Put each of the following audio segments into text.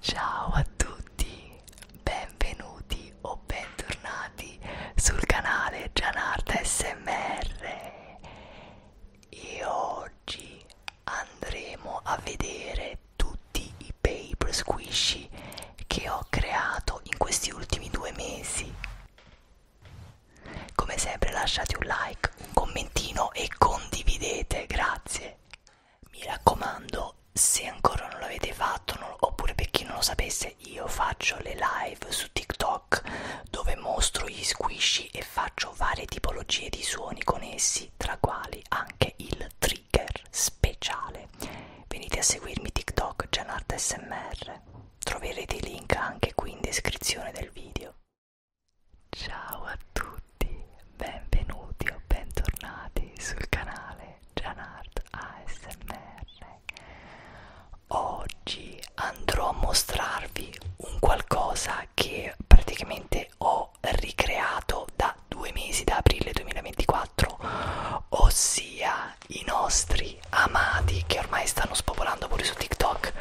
Ciao a tutti, benvenuti o bentornati sul canale Gianarda SMR e oggi andremo a vedere tutti i paper squishy che ho creato in questi ultimi due mesi come sempre lasciate un like un commentino e condividete grazie mi raccomando se ancora non l'avete fatto non, oppure per chi non lo sapesse io faccio le live su tiktok rock dove mostro gli squishy e faccio varie tipologie di suoni con essi tra quali anche il trigger speciale venite a seguirmi tiktok Genart smr troverete i link anche qui in descrizione del video ciao a tutti benvenuti o bentornati sul canale Janart ASMR Oggi andrò a mostrarvi un qualcosa che praticamente ho ricreato da due mesi, da aprile 2024, ossia i nostri amati che ormai stanno spopolando pure su TikTok,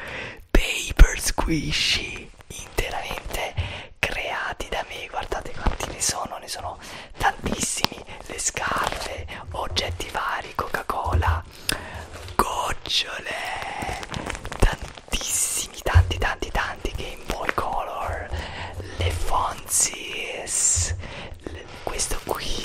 paper squishy interamente creati da me. Guardate quanti ne sono, ne sono tantissimi, le scarpe, oggetti vari, Coca-Cola, gocciole tantissimi tanti tanti tanti Game Boy Color le Fonzies le, questo qui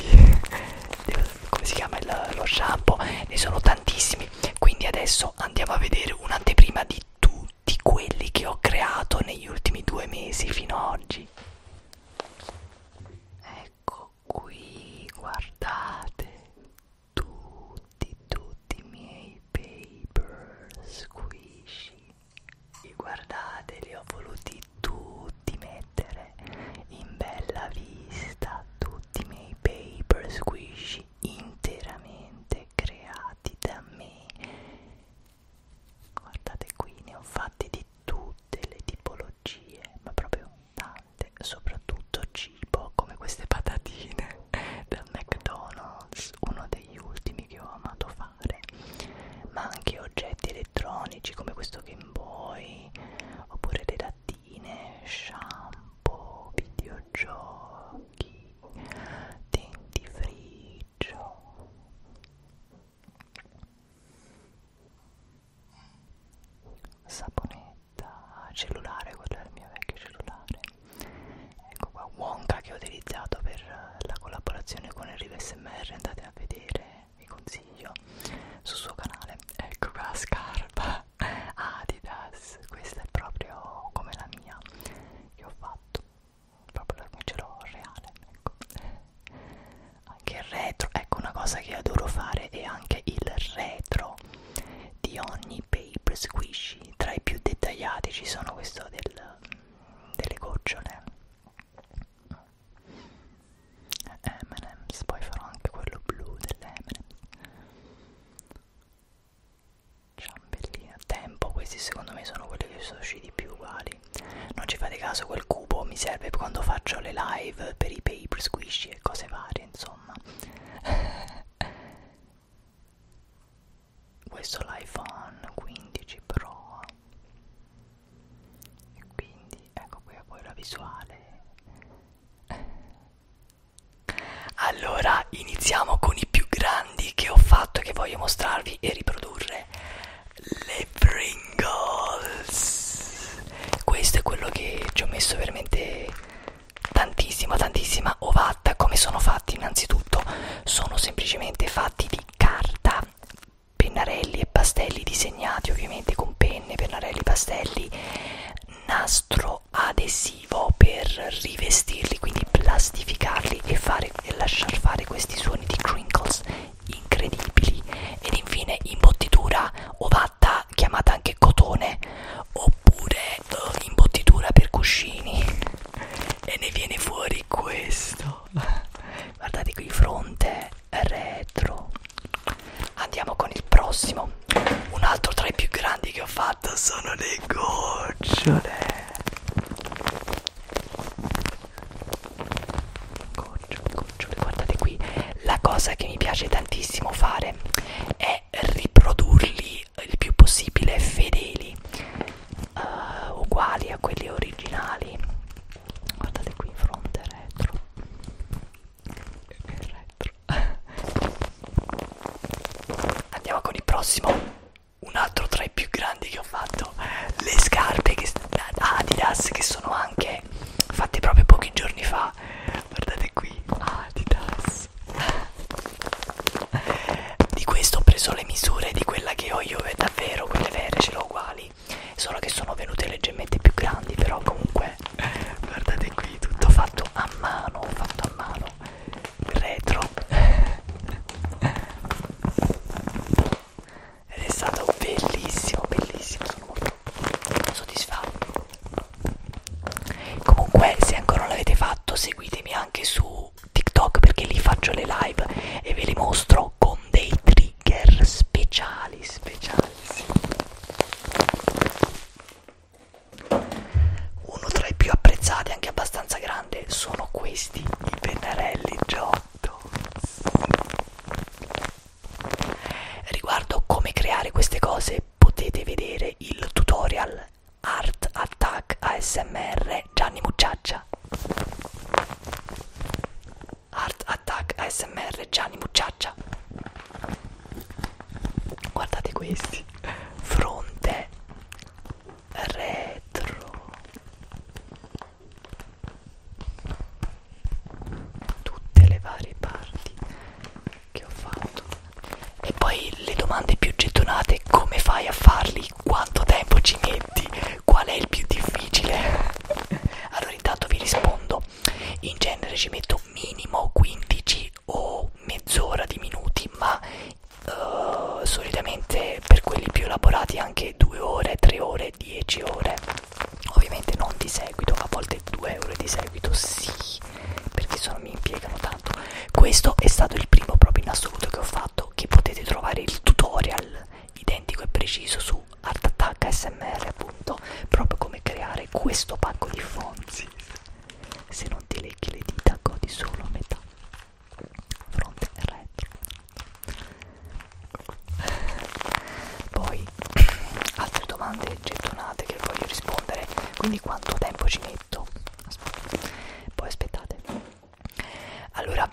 come si chiama il, lo shampoo ne sono tantissimi quindi adesso andiamo a vedere un'anteprima di tutti quelli che ho creato negli ultimi due mesi fino ad oggi ecco qui guardate tutti tutti i miei paper squishy e guardate li ho voluti tutti mettere in bella vista tutti i miei paper squishy interamente creati da me guardate qui ne ho fatti di tutte le tipologie ma proprio importante soprattutto cibo come queste patatine del McDonald's uno degli ultimi che ho amato fare ma anche oggetti elettronici come questo Game Boy oppure le lattine shampoo videogiochi dentifricio saponette da cellulare, quello era il mio vecchio cellulare ecco qua Wonka che ho utilizzato per la collaborazione con Enrico SMR andate a vedere, vi consiglio sul suo canale ecco qua scarpa Adidas questa è proprio come la mia che ho fatto proprio come ce l'ho reale ecco anche il retro ecco una cosa che adoro fare è anche il retro di ogni paper squishy tra i più dettagliati ci sono questo del, delle gocciole M&M's poi farò anche quello blu delle M&M's ciambellina tempo questi secondo me sono quelli che sono usciti più uguali non ci fate caso quel cubo mi serve quando faccio le live per i paper squishy e cose varie insomma questo è l'iPhone 15 Pro e quindi ecco qui a voi la visuale allora iniziamo con i più grandi che ho fatto e che voglio mostrarvi e riprodurre le Pringles questo è quello che ci ho messo veramente tantissima tantissima ovatta come sono fatti innanzitutto sono semplicemente fatti di carta pennarelli e pastelli disegnati ovviamente con penne pennarelli pastelli nastro adesivo per rivestirli quindi plastificarli e, fare, e lasciar fare questi suoni di crinkles incredibili ed infine imbottitura ovatta cotoletta chiamata anche cotone oppure uh, eh, imbottitura per cuscini e ne viene fuori questo guardate qui fronte retro andiamo con il prossimo un altro tra i più grandi che ho fatto sono le gocciole gocciole gocciole guardate qui la cosa che mi piace tantissimo fare è riprodurli il più possibile fedeli uh, uguali a quelli originali guardate qui in fronte retro retro andiamo con il prossimo un altro tra i più grandi che ho fatto le scarpe che, Adidas che sono anche fatte proprio pochi giorni fa guardate qui Adidas di questo ho preso le misure di quella che ho io è davvero quelle vere ce l'ho uguali solo che sono venute leggermente più grandi però comunque guardate qui tutto fatto a mano fatto a mano retro ed è stato bellissimo bellissimo sono molto soddisfa comunque se ancora non l'avete fatto seguitemi anche su TikTok perché lì faccio le live e ve le mostro con dei trigger speciali speciali uno tra i più apprezzati anche abbastanza grande sono questi i pennarelli Giotto Riguardo come creare queste cose potete vedere il tutorial Art Attack ASMR Gianni Mucciaccia. Art Attack ASMR Gianni Mucciaccia. Guardate questi. Fronte retro. Tutte le varie parti che ho fatto e poi le domande più gettonate come fai a farli quanto tempo ci metti qual è il più difficile allora intanto vi rispondo in genere ci metto minimo 15 o mezz'ora di minuti ma uh, solitamente per quelli più elaborati anche 2 ore 3 ore 10 ore ovviamente non di seguito a volte 2 ore di seguito sì perché sono, mi impiegano tanto questo è stato il primo proprio in assoluto che ho fatto che potete trovare il tutorial identico e preciso su Art Attack ASMR appunto proprio come creare questo pacco di fonzi se non ti leghi le dita godi solo a metà fronte e retro poi altre domande gettonate che voglio rispondere quindi quanto tempo ci metto aspettate. poi aspettate allora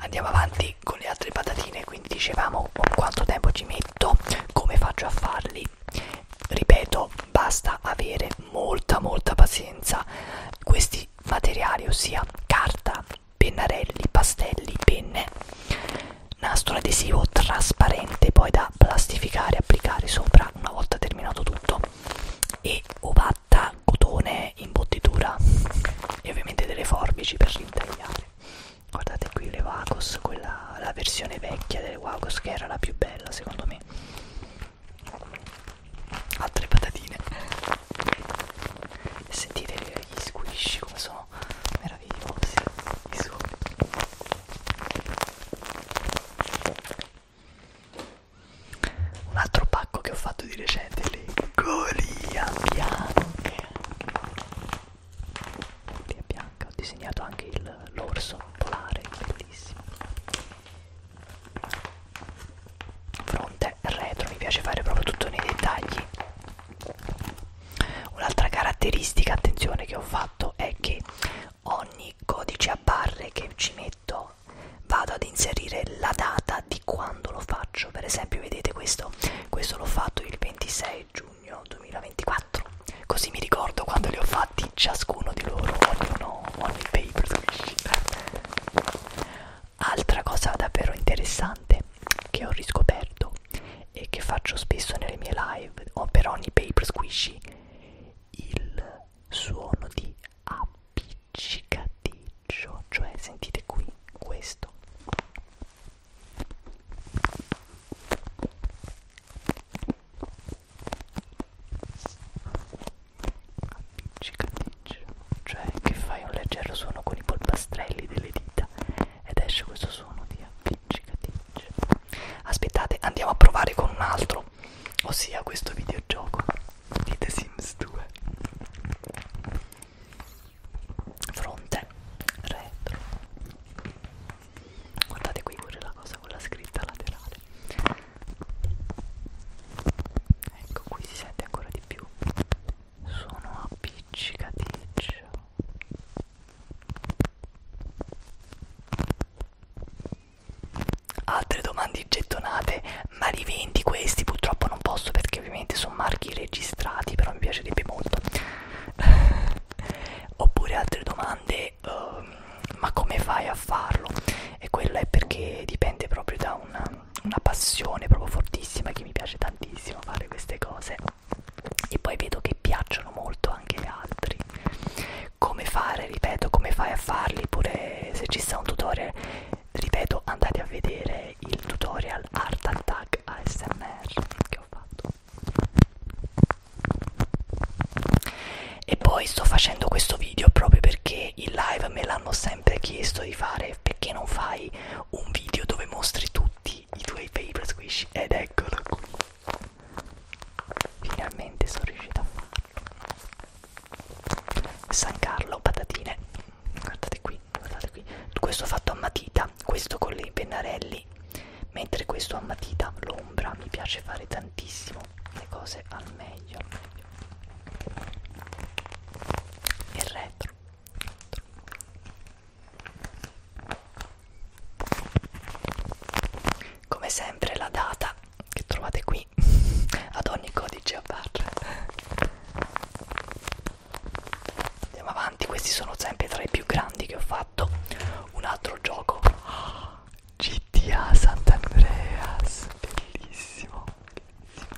andiamo avanti con le altre patatine quindi dicevamo quanto tempo ci metto come faccio a farli ripeto basta avere molta molta pazienza questi materiali ossia carta pennarelli pastelli penne nastro adesivo trasparente poi da plastificare e applicare sopra una volta terminato tutto e ovatta cotone imbottitura e ovviamente delle forbici per ritagliare guardate qui le Wacos quella la versione vecchia delle Wacos che era la più bella secondo me altre patatine sentite gli squish come sono meravigliosi i suoni un altro pacco che ho fatto di recente le golia bianche golia bianca ho disegnato anche l'orso polare bellissimo fronte retro mi piace fare proprio tutto nei dettagli un'altra caratteristica attenzione che ho fatto è che ogni codice a barre che ci metto vado ad inserire la data di quando lo faccio per esempio vedete questo questo l'ho fatto il 26 giugno 2024 così mi ricordo quando li ho fatti ciascuno di loro ognuno ogni day preferisci altra cosa davvero interessante che ho riscoperto e che faccio spesso nelle mie live o per ogni paper squishy il suono di appiccicaticcio, cioè sentite qui questo. Appiccicaticcio, cioè che fai un leggero suono con i polpastrelli delle dita ed esce questo suono di appiccicaticcio cicatrice aspettate andiamo a provare con un altro ossia questo videogioco di The Sims 2 fronte retro guardate qui pure la cosa con la scritta laterale ecco qui si sente ancora di più sono appiccicaticcio Altre domande gettonate, ma li vendi questi? Purtroppo non posso perché ovviamente sono marchi registrati, però mi piacerebbe molto. Oppure altre domande, uh, ma come fai a farlo? E quella è perché dipende proprio da una, una passione proprio fortissima che mi piace tantissimo fare queste cose e poi vedo che piacciono molto anche gli altri come fare ripeto come fai a farli pure se ci sta un tutorial ripeto andate a vedere il tutorial art attack asmr che ho fatto e poi sto facendo questo video proprio perché in live me l'hanno sempre chiesto di fare perché non fai un video dove mostri tutti i tuoi paper squish ed eccolo qui Finalmente sono riuscita a farlo. San Carlo, patatine. Guardate qui, guardate qui. Questo fatto a matita, questo con i pennarelli. Mentre questo a matita, l'ombra. Mi piace fare tantissimo le cose al meglio. Al meglio. Il retro. retro. Come sempre la data che trovate qui ad ogni codice a barra. Andiamo avanti, questi sono sempre tra i più grandi che ho fatto. Un altro gioco oh, GTA Sant'Andreas, bellissimo, bellissimo.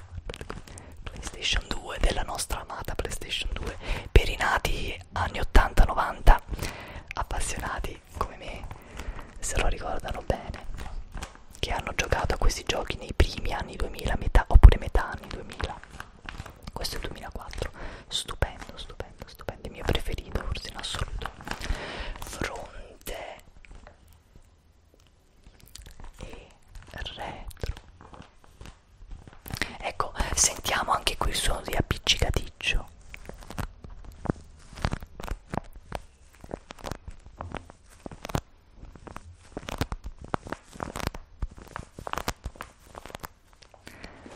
PlayStation 2 della nostra amata PlayStation 2 per i nati anni 80-90 appassionati come me se lo ricordano bene che hanno giocato a questi giochi nei primi anni 2000 metà, oppure metà anni 2000 questo è il 2004 stupendo stupendo stupendo il mio preferito forse in assoluto fronte e retro ecco sentiamo anche qui il suono di appiccicaticcio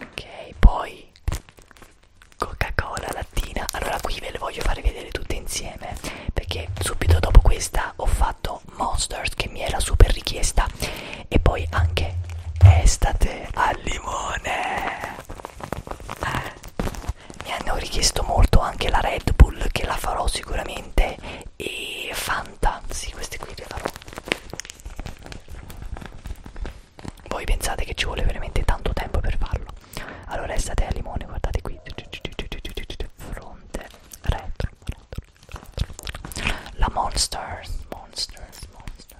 Ok, poi Coca-Cola lattina. Allora qui ve le voglio fare vedere tutte insieme perché subito dopo questa ho fatto Monsters che mi era super richiesta e poi anche Estate al limone mi hanno richiesto molto anche la Red Bull che la farò sicuramente e Fanta, sì queste qui le farò voi pensate che ci vuole veramente tanto tempo per farlo allora estate al limone guardate qui fronte retro, retro, retro. la monster monster monster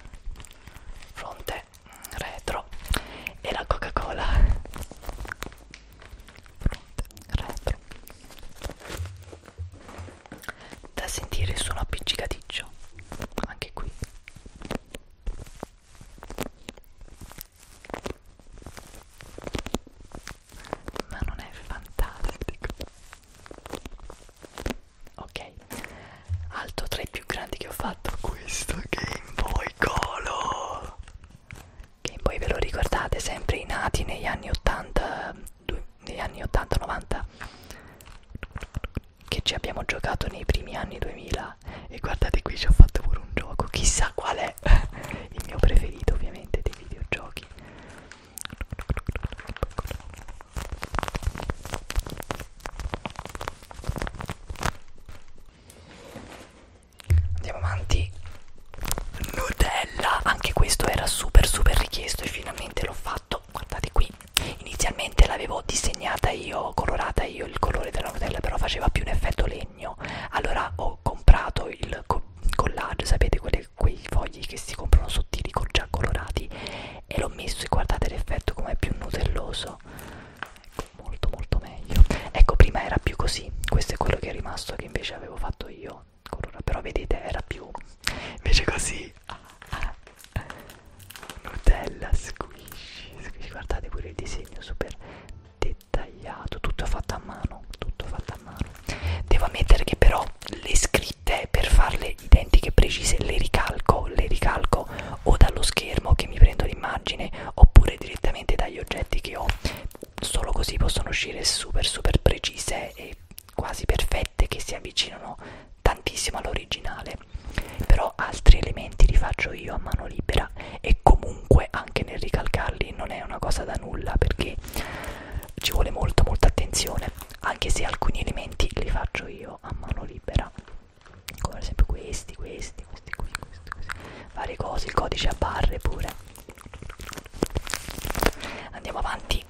fronte è retro e la coca cola retro da sentire il suono appiccicaticcio anche qui ma non è fantastico ok alto tra i più grandi che ho fatto questo Game Boy Color Game Boy ve lo ricordate sempre i nati negli anni 80 due, negli anni 80-90 che ci abbiamo giocato nei primi anni 2000 e guardate qui ci ho fatto pure un gioco chissà qual è il mio preferito ovviamente dei videogiochi Andiamo avanti. Nutella, anche questo era super super richiesto e finalmente l'ho fatto. Guardate qui. Inizialmente l'avevo disegnata io, colorata io il colore della Nutella, però faceva più un effetto legno. Allora ho comprato il co collage, sapete quelli, quei fogli che si comprano sottili già colorati e l'ho messo e guardate l'effetto com'è più nutelloso ecco, molto molto meglio ecco prima era più così questo è quello che è rimasto che invece avevo fatto io però vedete era più invece così Nutella squishy, squishy guardate pure il disegno super dettagliato tutto fatto a mano tutto fatto a mano devo ammettere che però le scritte per farle cose identiche precise le ricalco le ricalco o dallo schermo che mi prendo l'immagine oppure direttamente dagli oggetti che ho solo così possono uscire super super precise e quasi perfette che si avvicinano tantissimo all'originale però altri elementi li faccio io a mano libera e comunque anche nel ricalcarli non è una cosa da nulla perché ci vuole molto molta attenzione anche se alcuni elementi li faccio io a mano libera come ad esempio questi, questi, questi, questi, questi, questi, varie cose, il codice a barre pure. Andiamo avanti.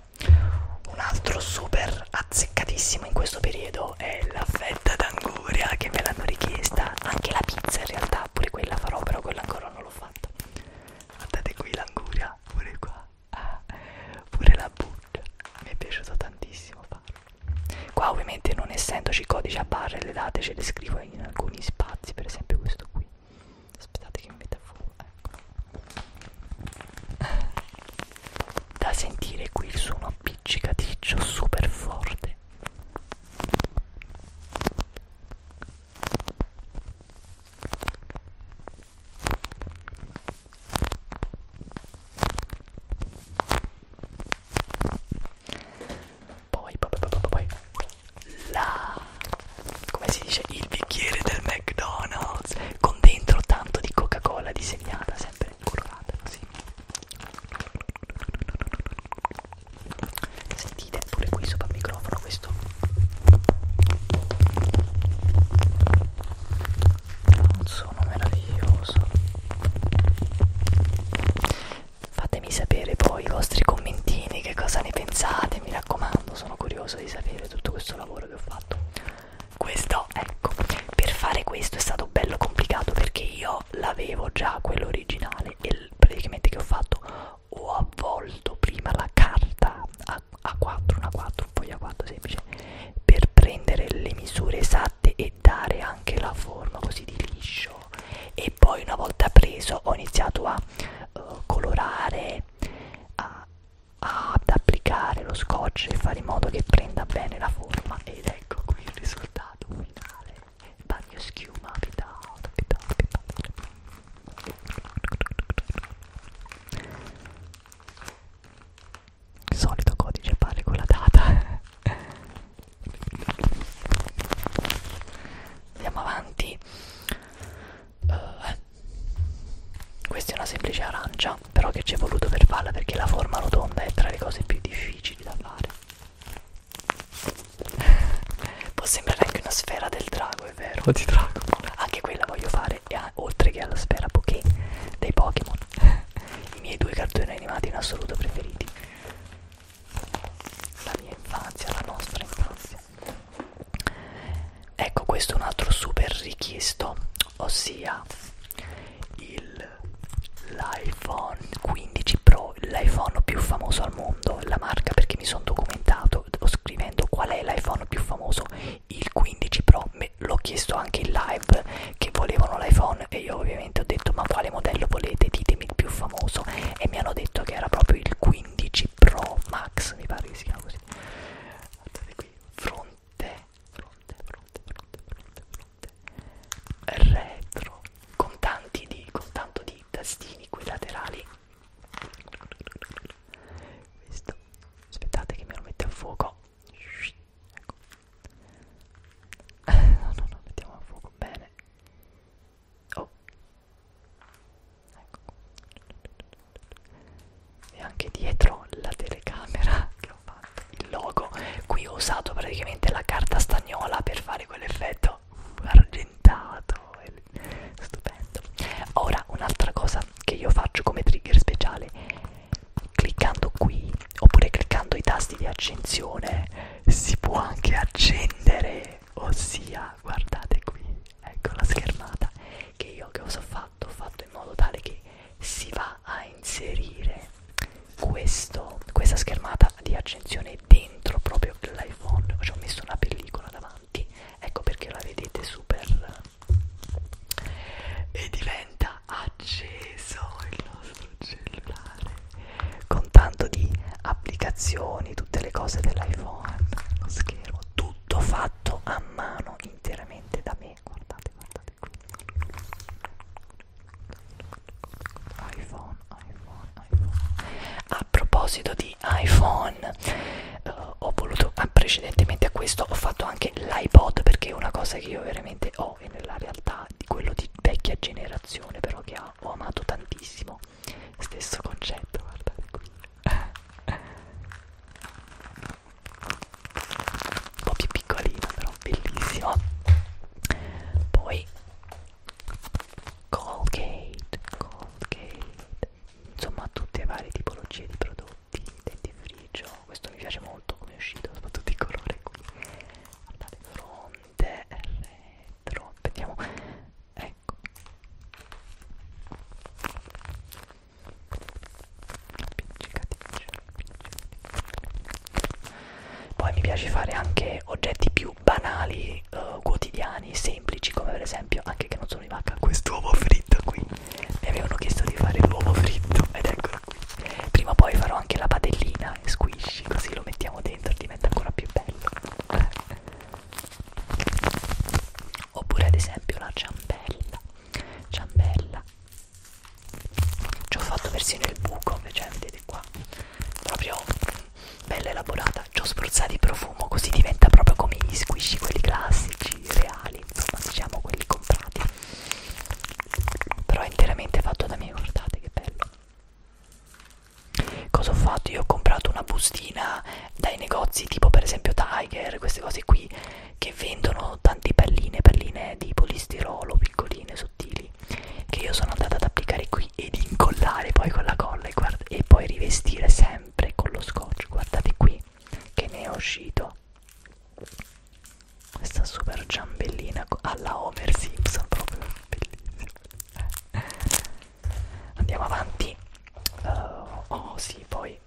Un altro super azzeccatissimo in questo periodo è la fetta d'anguria che me l'hanno richiesta, anche la pizza in realtà, pure quella farò, però quella ancora non l'ho fatta. Guardate qui l'anguria, pure qua, ah, pure la buccia, mi è piaciuto tantissimo farla qua ovviamente non essendoci codici a barre le date ce le scrivo in alcuni spazi per esempio questo qui aspettate che mi metta fuoco ecco da sentire qui il suono appiccicaticcio super forte poi, poi, poi, poi, poi, la, come si dice, il bicchiere del McDonald's con dentro tanto di Coca-Cola disegnata, sempre curvata così. Sentite pure qui sopra il microfono questo un suono meraviglioso fatemi sapere poi i vostri commentini che cosa ne pensate mi raccomando sono curioso di sapere tutto questo lavoro che ho fatto questo ecco per fare questo è stato bello complicato perché io l'avevo già quello originale e praticamente che ho fatto ho avvolto prima la carta a, a4 una 4 foglia 4 semplice per prendere le misure esatte latte e dare anche la forma così di liscio e poi una volta preso ho iniziato a uh, colorare a, a, ad applicare lo scotch e fare in modo che prenda bene la forma ed ecco qui il risultato finale bagno schiuma vitale, vitale, vitale il solito codice pare con la data andiamo avanti uh, questa è una semplice arancia però che ci è voluto per farla perché la forma rotonda è tra le cose più difficili da fare può sembrare anche una sfera del drago è vero di drago anche quella voglio fare oltre che alla sfera poké dei Pokémon i miei due cartoni animati in assoluto preferiti la mia infanzia, la nostra infanzia ecco questo è un altro super richiesto ossia il l'iPhone 15 Pro l'iPhone più famoso al mondo la marca perché mi sono documentato scrivendo qual è l'iPhone più famoso il 15 Pro me l'ho chiesto anche in live che volevano l'iPhone e io ovviamente ho detto ma quale modello volete ditemi il più famoso e mi hanno detto che era proprio il 15 Pro Max mi pare che si chiama così guardate qui fronte fronte fronte fronte fronte fronte retro con tanti di con tanto di tastini qui laterali questo aspettate che me lo mette a fuoco ecco no no no mettiamo a fuoco bene oh ecco e anche dietro la telecamera che ho fatto il logo qui ho usato praticamente la carta stagnola per fare quell'effetto argentato stupendo ora un'altra cosa che io faccio come trigger speciale cliccando qui oppure cliccando i tasti di accensione si può anche accendere ossia guardate qui ecco la schermata che io che cosa ho fatto ho fatto in modo tale che si va a inserire questo, questa schermata di accensione dentro proprio l'iPhone ci ho messo una pellicola davanti ecco perché la vedete super e diventa acceso il nostro cellulare con tanto di applicazioni, tutte le cose dell'iPhone, lo schermo, tutto fatto a mano interamente da me. Guardate, guardate qui. iPhone, iPhone, iPhone. A proposito di iPhone, eh, ho voluto ah, precedentemente a questo ho fatto anche l'iPod perché è una cosa che io veramente ho no, è nella realtà di quello di vecchia generazione però che ha, ho amato tantissimo stesso concetto guardate qui un po' più piccolino però bellissimo poi Colgate Colgate insomma tutte le varie tipologie di prodotti dentifricio questo mi piace molto come è uscito soprattutto il colore qui andate fronte retro vediamo ecco poi mi piace fare anche oggetti più banali uh, quotidiani semplici come per esempio anche che non sono di vacca quest'uovo fritto qui mi avevano chiesto di fare l'uovo fritto ed eccolo Prima o poi farò anche la padellina e squishy, così lo mettiamo dentro, diventa ancora più bello. Oppure ad esempio la ciambella. Ciambella. Ci ho fatto persino il buco, cioè vedete qua. Proprio bella elaborata. Ci ho spruzzato di profumo, così diventa proprio come gli squishy, quelli classici, reali, insomma diciamo quelli comprati però è interamente fatto da me guardate che bello cosa ho fatto io ho comprato una bustina dai negozi tipo per esempio Tiger queste cose qui che vendono tante palline palline di polistirolo piccoline sottili che io sono andata ad applicare qui ed incollare poi con la colla e, e poi rivestire sempre con lo scotch guardate qui che ne è uscito questa super ciambellina alla Homer Simpson, proprio bellissima. Andiamo avanti. Uh, oh sì, poi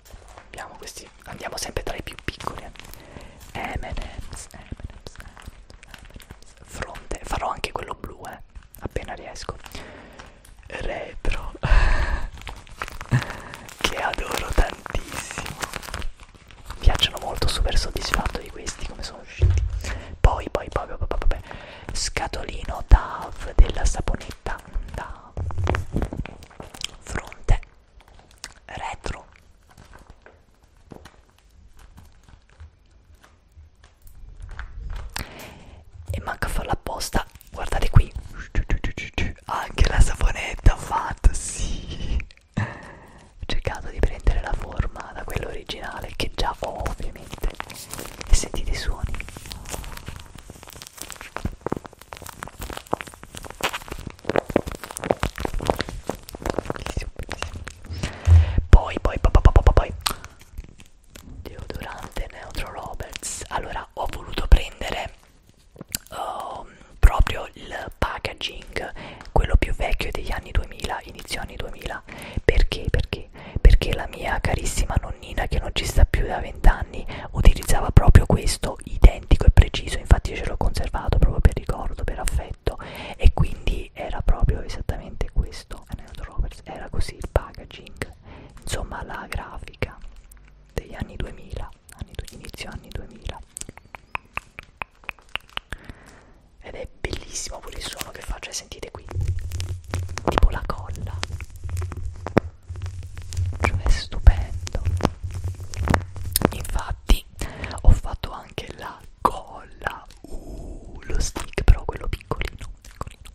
abbiamo questi. Andiamo sempre tra i più piccoli. Eh. M&M's, M&M's, Fronte. Farò anche quello blu, eh. Appena riesco. Retro. che adoro tantissimo mi piacciono molto, super soddisfatto di questi come sono usciti. Poi, poi, poi, poi, poi, poi, scatolino DAV della saponetta DAV, fronte, retro. E manca a farla apposta, guardate qui, anche la saponetta fatta, sì ho cercato di prendere la forma da quello originale che già ho ovviamente e sentite i suoni bellissimo, bellissimo. poi poi poi poi poi poi deodorante Neutro Roberts allora ho voluto prendere um, proprio il packaging, quello più vecchio degli anni 2000, inizio anni 2000. Perché? Perché? Perché la mia carissima nonnina, che non ci sta più da vent'anni, utilizzava proprio questo, identico e preciso, infatti io ce l'ho conservato proprio per ricordo, per affetto, e quindi era proprio esattamente questo, eh, era così il packaging, insomma la grafica degli anni 2000, anni, inizio anni 2000 ed è bellissimo pure il suono che fa, cioè eh, sentite qui, tipo la colla, cioè è stupendo. Infatti ho fatto anche la colla, uh, lo stick però quello piccolino, piccolino.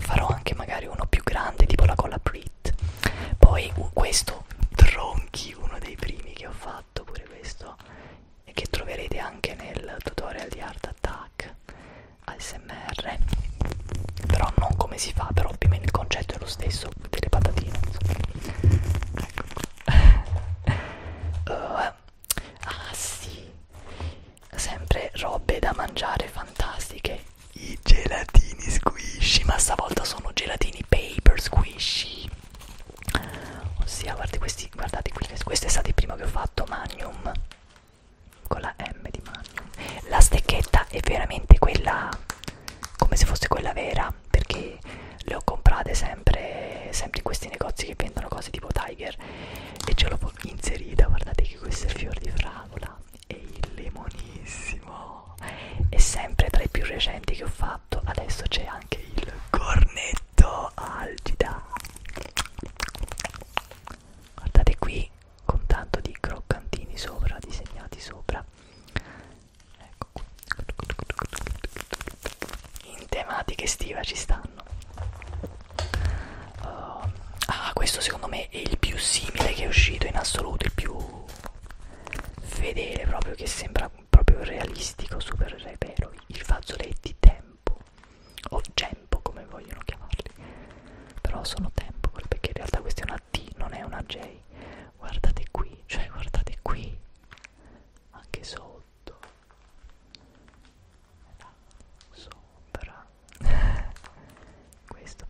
Farò anche magari uno più grande, tipo la colla Brit kit poi questo tronchi uno dei primi che ho fatto pure questo e che troverete anche nel tutorial di Art Attack ASMR però non come si fa però più o meno il concetto è lo stesso delle patatine ecco qua. Uh, eh, ah sì sempre robe da mangiare fantastiche i gelatini squishy, ma stavolta sono gelatini paper squishy. Ossia, guardate questi, guardate qui, questo è stato il primo che ho fatto, Magnum. Con la M di Magnum. La stecchetta è veramente quella, come se fosse quella vera, perché le ho comprate sempre, sempre in questi negozi che vendono cose tipo Tiger. E ce l'ho inserita, guardate che questo è il fior di fragola e il limonissimo è sempre tra i più recenti che ho fatto adesso c'è anche il cornetto algida guardate qui con tanto di croccantini sopra disegnati sopra ecco qui in tematica estiva ci stanno uh, ah questo secondo me è il più simile che è uscito in assoluto il più fedele proprio che sembra proprio realistico super vero i fazzoletti tempo o gempo come vogliono chiamarli però sono tempo perché in realtà questa è una T non è una J guardate qui cioè guardate qui anche sotto sopra questo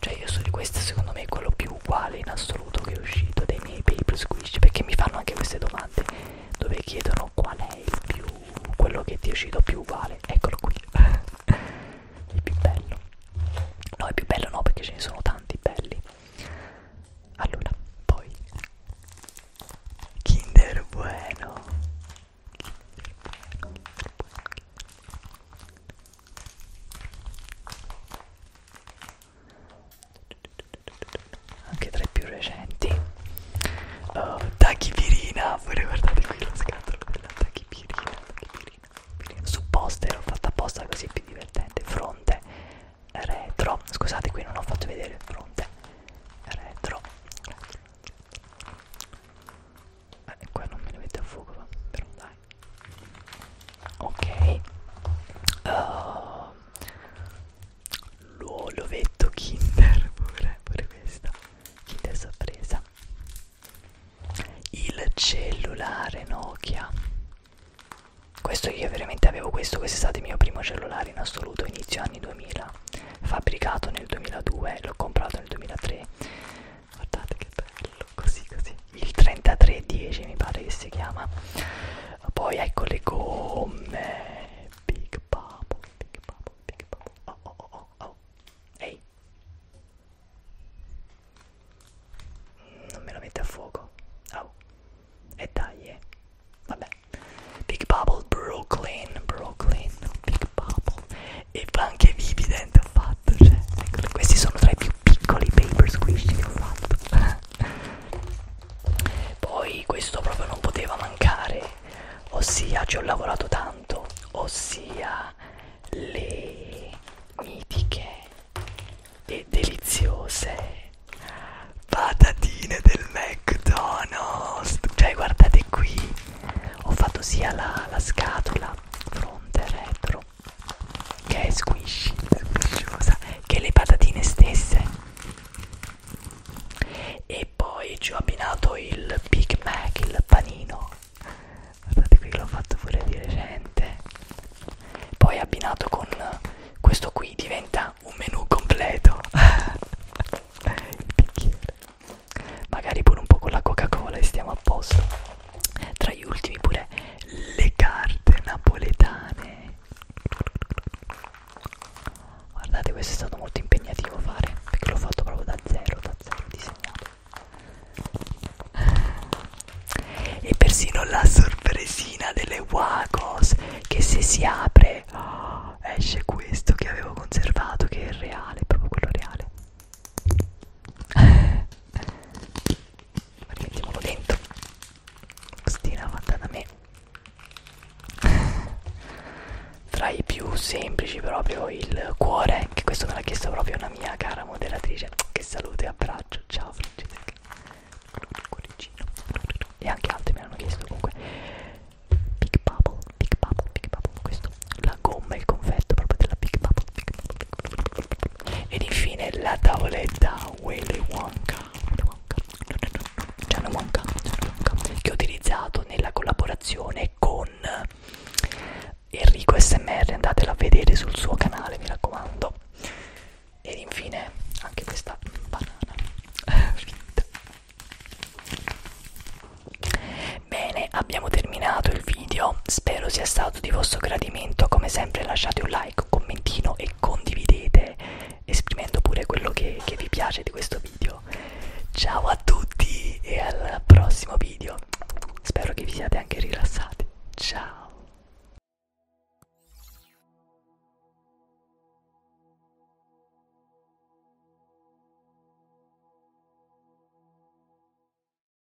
cioè io so di questo secondo me è quello più uguale in assoluto che è uscito dei miei paper squish perché mi fanno anche queste domande dove chiedono qual è il più quello che ti è uscito più uguale eccolo qui il più bello no il più bello no perché ce ne sono tanti belli allora poi Kinder Bueno Kinder Bueno Kinder Bueno Kinder Bueno anche tra i più recenti uh, oh, tachipirina voi ricordate qui la scatola della tachipirina, tachipirina, tachipirina. su poster ho fatto apposta così più divertente fronte retro scusate qui non ho fatto vedere fronte retro eh, qua non me ne mette a fuoco va? però dai ok uh, ehm, l'ovetto kinder pure, pure questa kinder sorpresa il cellulare Nokia questo io veramente avevo questo questo è stato il mio primo cellulare in assoluto inizio anni 2000 fabbricato nel 2002 l'ho comprato nel 2003 guardate che bello così così il 3310 mi pare che si chiama poi ecco le gomme big bubble big bubble big bubble oh oh oh oh, oh. ehi hey. non me lo mette a fuoco oh e dai eh. vabbè big bubble brooklyn brooklyn big bubble e anche vivi dentro ho fatto cioè, ecco, questi sono tra i più piccoli paper squishy che ho fatto poi questo proprio non poteva mancare ossia ci ho lavorato tanto ossia le mitiche e deliziose patatine del McDonald's cioè guardate qui ho fatto sia la, la scatola fronte retro che è squishy, squisciosa, che le patatine stesse. E poi ci ho abbinato il Big Mac, il panino. Guardate qui, l'ho fatto pure di recente. Poi abbinato con questo qui diventa un menù completo. il bicchiere. Magari pure un po' con la Coca-Cola e stiamo a posto tra gli ultimi pure le carte napoletane guardate questo è stato molto impegnativo fare perché l'ho fatto proprio da zero da zero disegnato e persino la sorpresina delle wacos che se si apre oh, esce questo che avevo conservato che è il reale proprio quello reale rimettiamolo dentro bustina fatta da me tra i più semplici proprio il cuore che questo me l'ha chiesto proprio una mia cara moderatrice che saluto e abbraccio ciao Francesca e anche altri me l'hanno chiesto comunque Big Bubble Big Bubble Big Bubble questo la gomma e il confetto proprio della Big Bubble, Big Bubble, Big Bubble. Ed infine la tavoletta Willy Wonka. John Wonka, Wonka che ho utilizzato nella collaborazione con Enrico SMR, andatela a vedere sul suo canale, mi raccomando. Ed infine anche questa banana fritta. Bene, abbiamo terminato il video spero sia stato di vostro gradimento come sempre lasciate un like un commentino e condividete esprimendo pure quello che, che vi piace di questo video ciao a tutti e al prossimo video spero che vi siate anche rilassati ciao